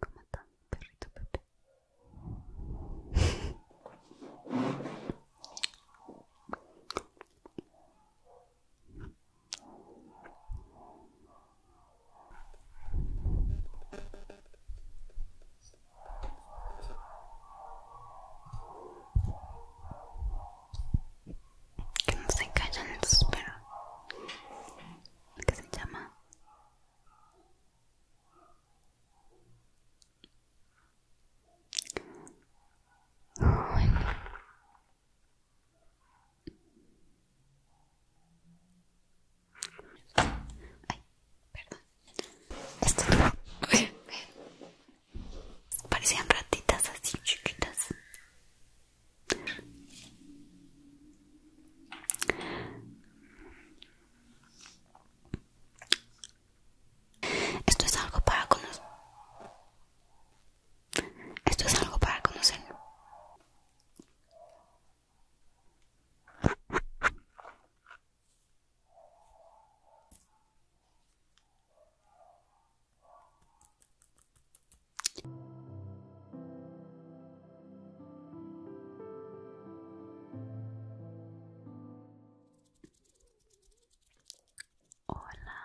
¿Cómo está perrito Pepe? Que no se callen, espera perros. Que se llama Ay, perdón. parecían ratitas así chiquitas. Esto es algo para conocer. Esto es algo para conocer. Hola.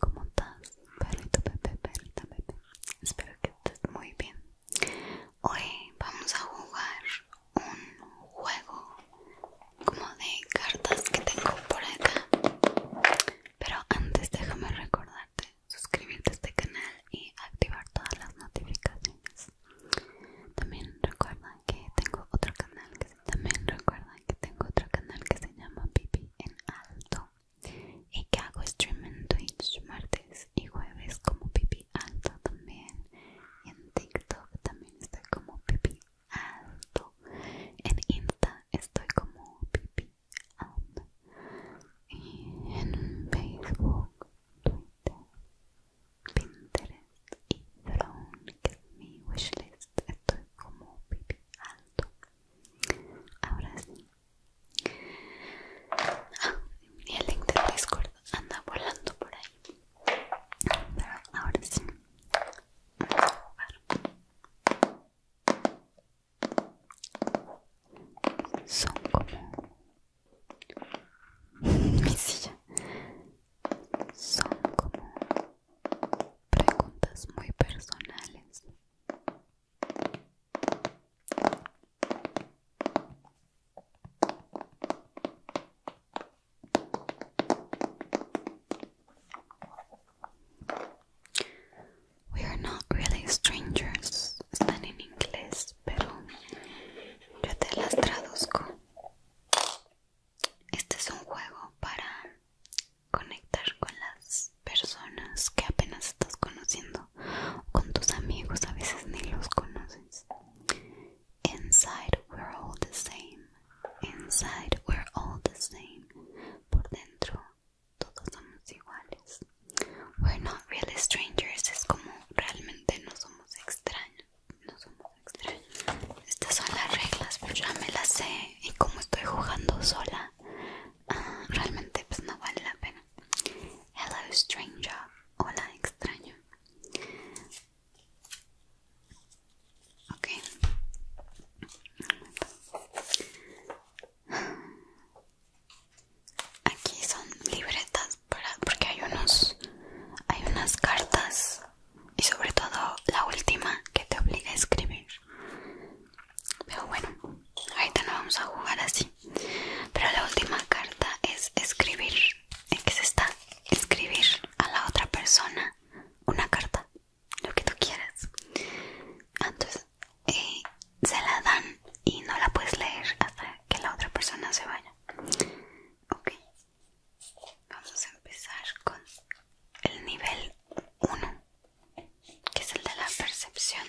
¿Cómo estás? Perrito, Pepe, Pepe. Espero que estés muy bien. Hoy vamos a jugar un juego como de cartas que tengo por acá pero antes déjame recordarte suscribirte a este canal y activar todas las notificaciones también recuerda que tengo otro canal que también recuerda que tengo otro canal que se llama Pipi en Alto y que hago stream en Twitch martes y jueves como Pipi Alto también y en TikTok también estoy como pipi alto. En Insta estoy como pipi alto. Y en Facebook, Twitter, Pinterest y Throne, que es mi wishlist, estoy como pipi alto. Ahora sí. Ah, y el link de Discord anda volando por ahí. Pero ahora sí, vamos a jugar. Son como mi silla. Son como preguntas muy personales. We are not really strangers. Están en inglés, pero yo te las traduzco. Este es un juego para conectar con las personas que apenas estás conociendo, con tus amigos, a veces ni los conoces. Inside we're all the same. Inside we're all the same. Por dentro todos somos iguales. We're not really strangers. Es como realmente no somos extraños. No somos extraños. Estas son las reglas, pero pues ya me las sé. Y como estoy jugando sola, ah, realmente pues no vale la pena. Hello stranger. Hola extraño. Aquí son libretas para, porque hay unos, hay unas cartas y sobre todo la última que te obliga a escribir. Pero bueno, ahorita no vamos a jugar así. Pero la última carta es escribir. ¿En que se está? Escribir a la otra persona una carta, lo que tú quieras. Entonces eh, se la dan y no la puedes leer hasta que la otra persona se vaya. Ok, vamos a empezar con el nivel 1, que es el de la percepción.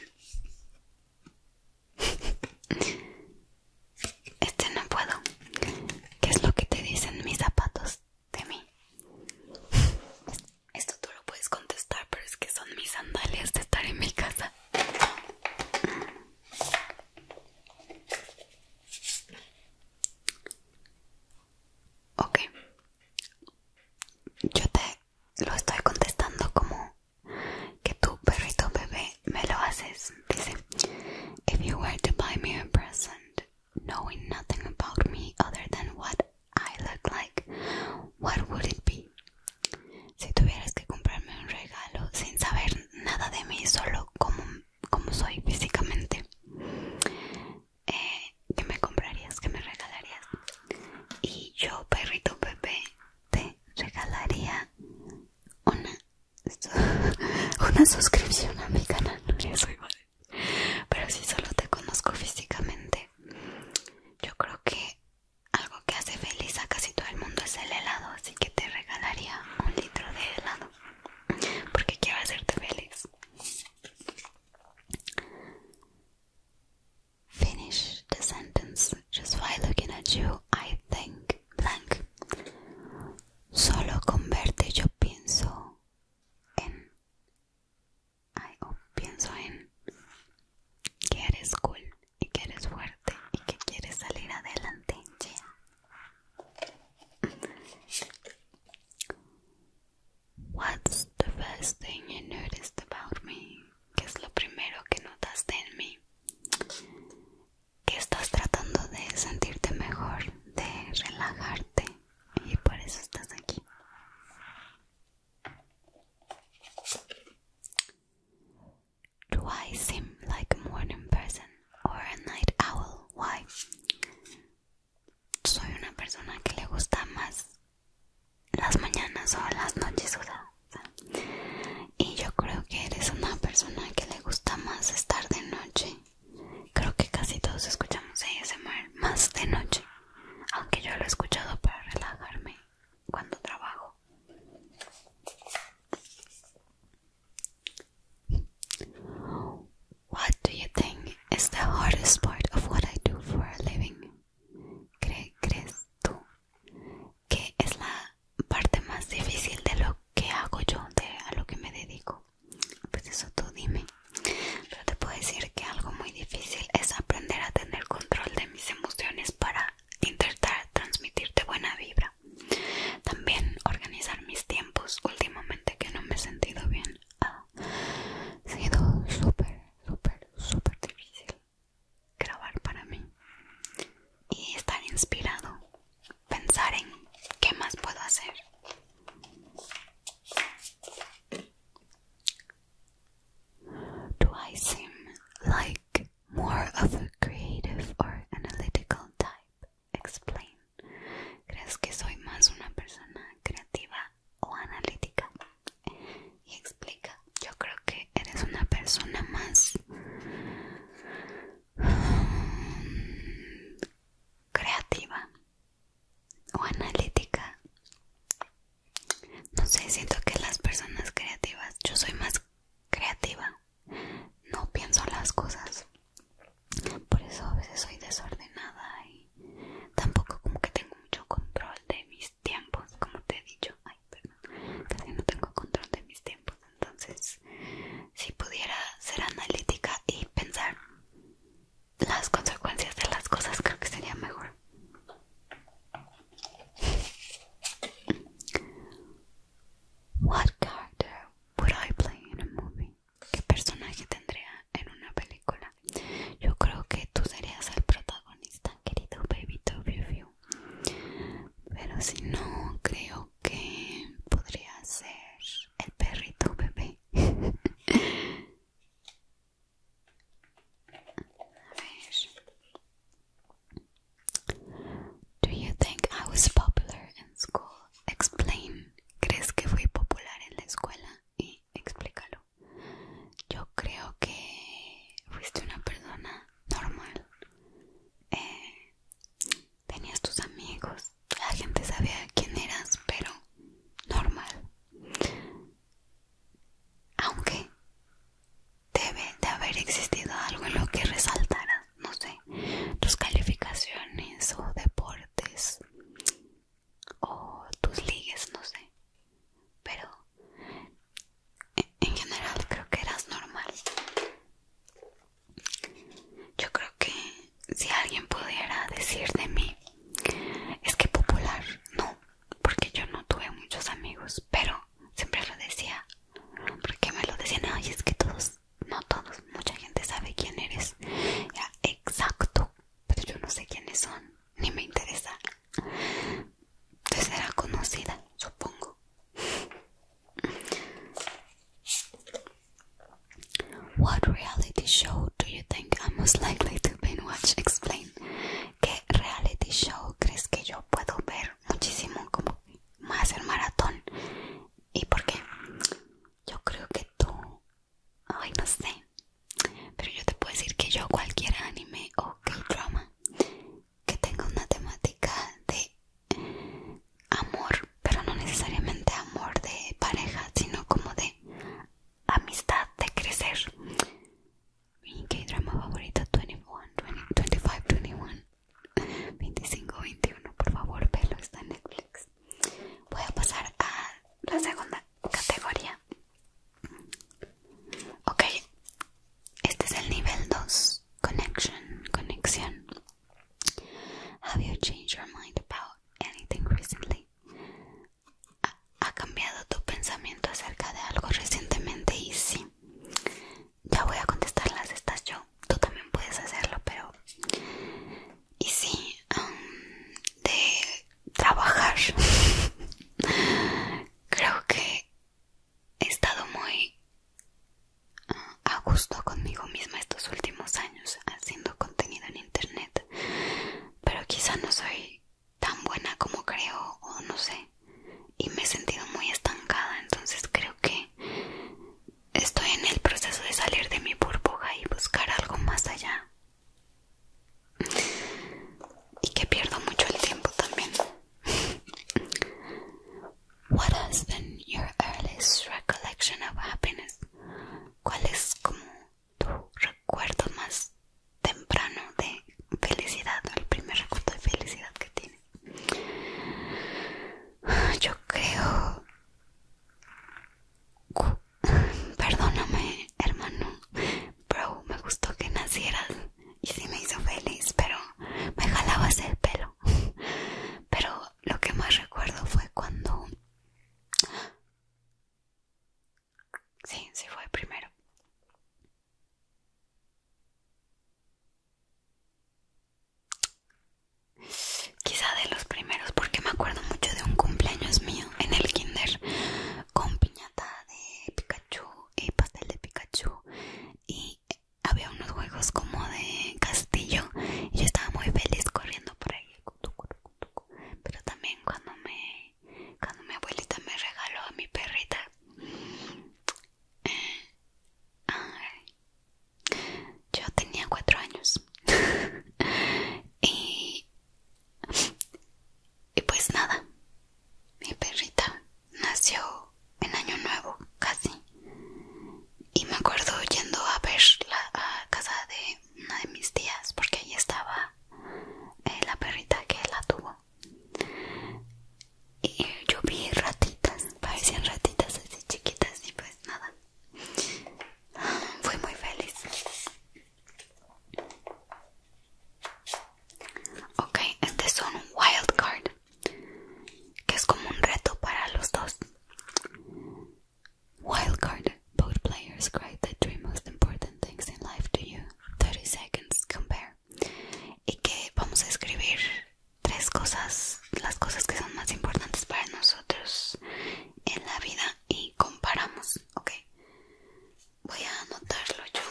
Este no puedo. ¿Qué es lo que te dicen mis zapatos de mí? Esto tú lo puedes contestar, pero es que son mis sandalias de estar en mi casa. Ok. Yo te lo estoy contestando como que tu perrito bebé me lo haces. Dice, if you were to buy me a present, knowing nothing about me other than what I look like, what would it be? Si tuvieras que comprarme un regalo sin saber nada de mí, solo como, como soy físicamente, que eh, ¿qué me comprarías? ¿Qué me regalarías? Y yo, perrito bebé, te regalaría una, suscripción a mi canal. Pero si solo te conozco físicamente, yo creo que algo que hace feliz a casi todo el mundo es el helado. Así que te regalaría un litro de helado. Porque quiero hacerte feliz. Finish the sentence. just by looking at you, I think blank. Solo con verte yo pienso en. Ay, pienso en que eres cool y que eres fuerte y que quieres salir adelante. What's the first thing you noticed about me? ¿Qué es lo primero que notaste en mí, que estás tratando de sentirte mejor, de relajarte y por eso estás aquí. Do I seem like a morning person or a night owl? Why? Soy una persona que le gusta más las mañanas o las noches, y yo creo que eres una persona que le gusta más estar de noche. Creo que casi todos escuchamos ese mar más de noche, aunque yo lo he escuchado para relajarme cuando trabajo. What do you think is the hardest part of what I do for a living? ¿Crees tú ¿Qué es la parte más difícil de lo que hago yo, de a lo que me dedico. Pues eso tú dime. Pero te puedo decir que algo muy difícil es aprender a tener control de mis emociones para intentar transmitirte buena vibra. También organizar mis tiempos últimamente que no me he sentido bien. Ha sido súper, súper, súper difícil grabar para mí y estar inspirado, pensar en qué más puedo hacer. Do I seem like more of a creative or analytical type? Explain. ¿Crees que soy más una persona creativa o analítica? y explica yo creo que eres una persona más mm, creativa o analítica no sé siento que las personas creativas yo soy más creativa no pienso las cosas por eso a veces soy desordenada y tampoco como que tengo mucho control de mis tiempos como te he dicho casi no tengo control de mis tiempos, entonces si pudiera ser analítica y pensar las consecuencias de las cosas creo que sería mejor. What character would I play in a movie? ¿Qué personaje tendría en una película? Yo creo que tú serías el protagonista, querido baby Toby pero si no creo que podría ser el perrito bebé A Do you think I was popular in school? Explain. ¿Crees que fui popular en la escuela? Y explícalo yo creo que fuiste una persona normal. Eh, tenías tus amigos, la gente sabía quién eras, pero normal. Aunque debe de haber existido algo en lo que resaltaras, no sé, tus calificaciones o deportes o tus ligues, no sé pero en general creo que eras normal. Yo creo que si alguien pudiera decir de mí, es que popular, no, porque yo no tuve muchos amigos, pero siempre lo decía, porque me lo decían, ay, es que todos, no todos, mucha gente sabe quién eres. exacto, pero yo no sé quiénes son, ni me interesa te será conocida, supongo. What reality show do you think I'm most likely to binge watch? Explain. ¿Qué reality show crees que yo puedo ver muchísimo como más el maratón? ¿Y por qué? Yo creo que tú, ay no sé, pero yo te puedo decir que yo cualquier anime o que drama que tenga una temática de amor, pero no necesariamente amor de pareja, sino como de amistad, de crecer. Mi K-drama favorito 21, 25, 21, 25, 21, por favor, velo, está en Netflix. Voy a pasar a la segunda categoría Ok, este es el nivel 2. Connection, conexión. Have you changed your mind about anything recently? ¿Ha, cambiado tu pensamiento acerca de algo recientemente? Y sí, ya voy a contestarlas estas yo. Tú también puedes hacerlo, pero... Y sí, um, de trabajar. Creo que he estado muy ah, a gusto conmigo misma estos últimos años haciendo contenido en internet, pero quizá no soy tan buena como creo o no sé y me he sentido muy estancada entonces creo que estoy en el proceso de salir de mi burbuja y buscar algo más allá y que pierdo mucho el tiempo también. What ¿Cuál es como tu recuerdo más temprano de felicidad, el primer recuerdo de felicidad que tiene? Yo creo Perdóname, hermano. Bro, me gustó que nacieras y sí me hizo feliz, pero me jalabas el pelo. Pero lo que más recuerdo fue cuando... Sí, sí fue primero. Quizá de los primeros, porque me acuerdo mucho de un cumpleaños mío en el kinder con piñata de Pikachu y eh, pastel de Pikachu y había unos juegos como de castillo y yo estaba muy feliz corriendo por ahí pero también cuando me cuando mi abuelita me regaló a mi perrita eh, yo tenía cuatro años y y pues nada, mi perrita nació en año nuevo casi y me acuerdo yendo a ver a casa de una de mis tías porque ahí estaba eh, la perrita que la tuvo y yo vi ratitas, parecían ratitas así chiquitas y pues nada, fui muy feliz Ok, este es un wild card, que es como un reto para los dos. Wild card, both players write the three most important things in life to you. 30 seconds, compare. Y que vamos a escribir tres cosas, las cosas que son más importantes para nosotros en la vida y comparamos ok. Voy a anotarlo yo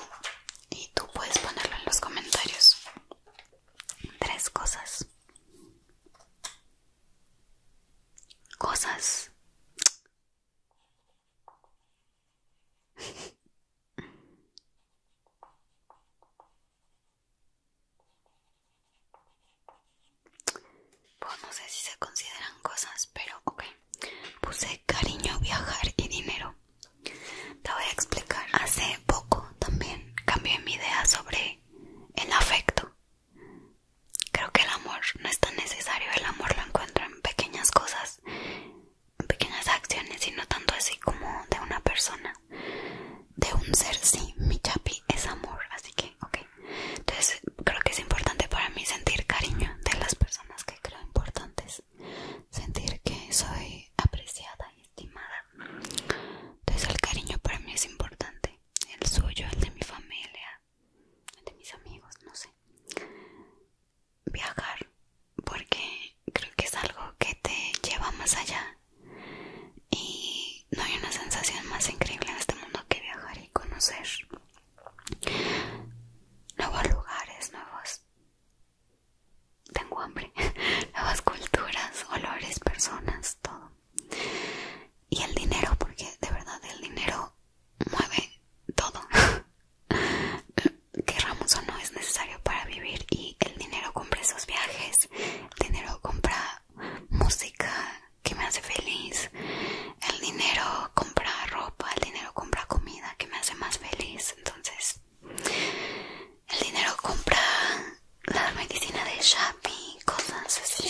y tú puedes ponerlo en los comentarios. Tres cosas. Cosas pues no sé si se consideran cosas, pero ok. Puse cariño, viajar y dinero. Te voy a explicar. Hace poco también cambié mi idea sobre el afecto. Creo que el amor no es tan necesario, el amor lo encuentro en pequeñas cosas, en pequeñas acciones y no tanto así como de una persona. De un ser, sí, mi chapi es amor, así que ok. Entonces creo que es importante para mí sentir cariño de las personas que creo importantes. Sentir que soy apreciada y estimada. Entonces el cariño para mí es importante. El suyo, el de mi familia, el de mis amigos, no sé. Viajar, porque creo que es algo que te lleva más allá. Y no hay una sensación más increíble en este mundo que viajar y conocer nuevos lugares, nuevos... Tengo hambre, nuevas culturas, olores, personas, todo. Y el dinero, porque de verdad el dinero mueve todo. Querramos o no es necesario para vivir y el dinero compra esos viajes, el dinero compra música, que me hace feliz. El dinero compra ropa, el dinero compra comida que me hace más feliz. Entonces, el dinero compra la medicina de Shapi, cosas así.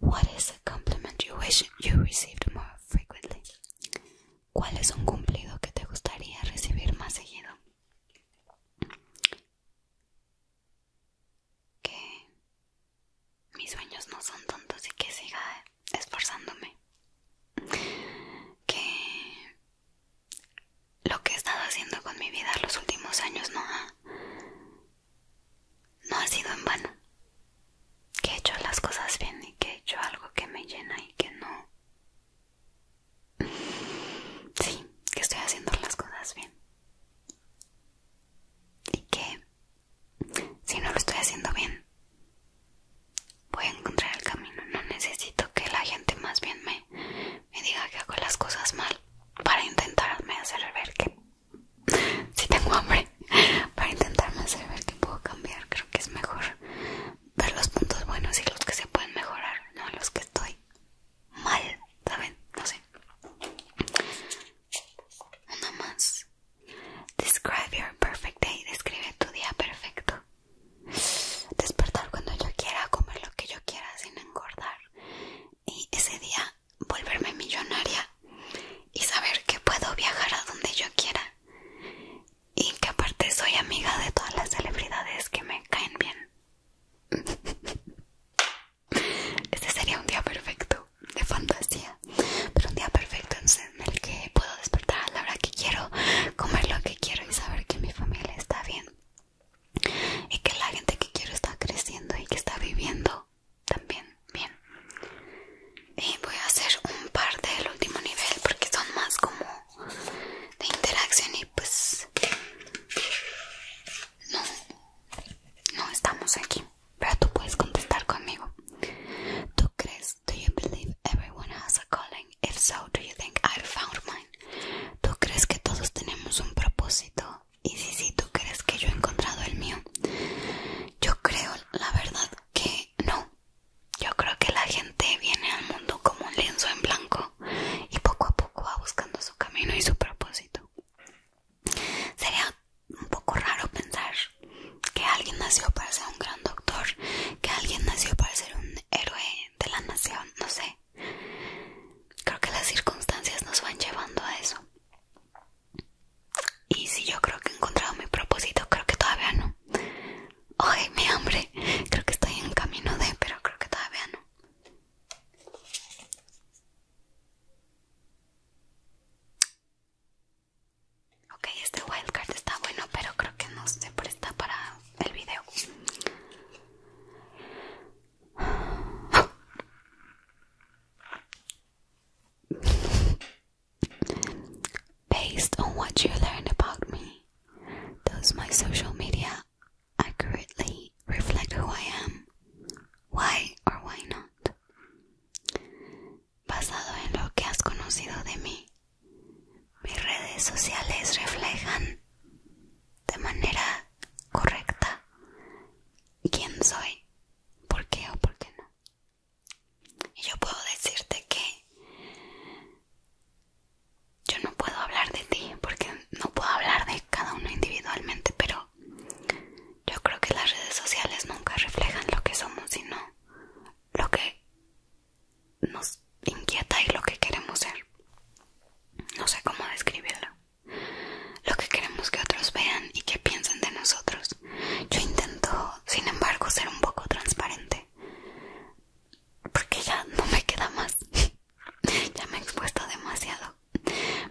What is a compliment you wish you received more frequently? ¿Cuál es un cumplido que te gustaría recibir más seguido? que mis sueños no son tontos y que siga esforzándome. Que lo que he estado haciendo con mi vida los últimos años no ha, no ha sido en vano. Que he hecho las cosas bien y que he hecho algo que me llena y que no... Sí, que estoy haciendo las cosas bien y que si no lo estoy haciendo bien voy a encontrar el camino no necesito que la gente más bien me, me diga que hago las cosas mal para intentarme hacer ver que si tengo hambre para intentarme hacer ver que puedo cambiar creo que es mejor ver los puntos buenos y los que se pueden mejorar no los que estoy mal, ¿saben? No sé. Una más. Describe your perfect day. Describe tu día perfecto. Despertar cuando yo quiera, comer lo que yo quiera sin engordar. Y ese día volverme millonaria y saber que puedo viajar a donde yo quiera. Y que aparte soy amiga de todas las celebridades que me caen bien. Este sería un día perfecto, de fantasía, pero un día perfecto en el que puedo despertar a la hora que quiero, comer lo que quiero y saber que mi familia está bien y que la gente que quiero está creciendo y que está viviendo también bien. Y voy a hacer un par del último nivel porque son más como de interacción y pues no no estamos aquí, pero tú puedes contestar conmigo. ¿Tú crees? ¿Tú crees que todos tenemos un propósito? Y si sí, ¿tú crees que yo he encontrado el mío? Yo creo, la verdad, que no. Yo creo que la gente viene al mundo como un lienzo en blanco y poco a poco va buscando su camino y su propósito. Sería un poco raro pensar que alguien nació para ser un gran doctor, que alguien nació para ser un héroe de la nación, no sé. Creo que las circunstancias nos van llevando a eso. Y si yo creo que he encontrado mi propósito, creo que todavía no. Oye, mi hambre, creo que estoy en camino de, pero creo que todavía no. Ok, este wildcard está bueno, pero creo que no se presta para el video. Based on what you learned about me, does my social media accurately reflect who I am, why or why not. Basado en lo que has conocido de mí, mis redes sociales reflejan de manera correcta quién soy, por qué o por qué no. Y yo puedo decirte que yo no puedo hablar de ti porque no puedo hablar de cada uno individualmente, pero yo creo que las redes sociales nunca reflejan lo que somos, sino lo que nos inquieta y lo que queremos ser. No sé cómo describirlo. Lo que queremos que otros vean y que piensen de nosotros. Yo intento, sin embargo, ser un poco transparente. Porque ya no me queda más. ya me he expuesto demasiado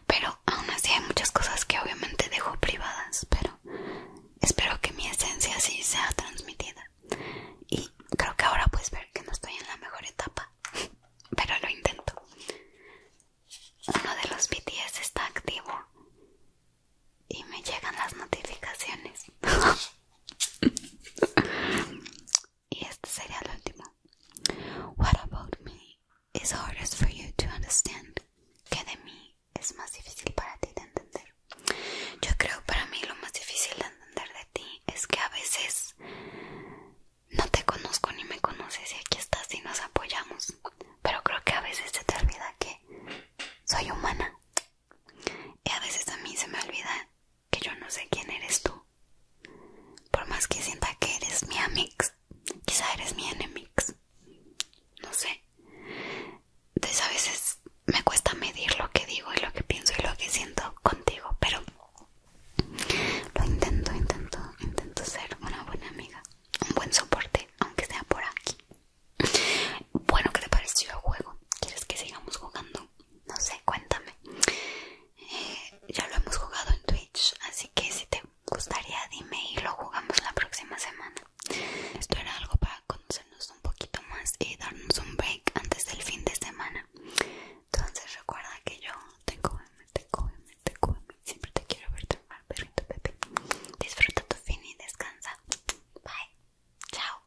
pero aún así hay muchas cosas que obviamente dejo privadas pero espero que mi esencia sí sea transmitida y creo que ahora puedes ver que no estoy en la mejor etapa pero lo intento uno de los BTS está activo y me llegan las notificaciones Y este sería el último. What about me is hardest for you to understand? ¿Qué de mí es más difícil para ti de entender? Yo creo para mí lo más difícil de entender de ti es que a veces no te conozco ni me conoces y aquí estás y nos apoyamos. Pero creo que a veces se te olvida que soy humana. Y a veces a mí se me olvida que yo no sé quién eres tú. Por más que sienta que eres mi amix, quizá eres mi enemix. No sé. Entonces a veces me cuesta medir lo que digo y lo que pienso y lo que siento contigo, pero lo intento, intento, intento ser una buena amiga, un buen soporte, aunque sea por aquí. Bueno, ¿qué te pareció el juego? ¿Quieres que sigamos jugando? No sé, cuéntame ya lo hemos jugado en Twitch, así que si te gustaría dime y lo jugamos la próxima semana. Esto era algo para conocernos un poquito más y darnos un break antes del fin de semana. Entonces recuerda que yo te cógeme, te te Siempre te quiero ver mal perrito Pepe. Disfruta tu fin y descansa. Bye. Chao.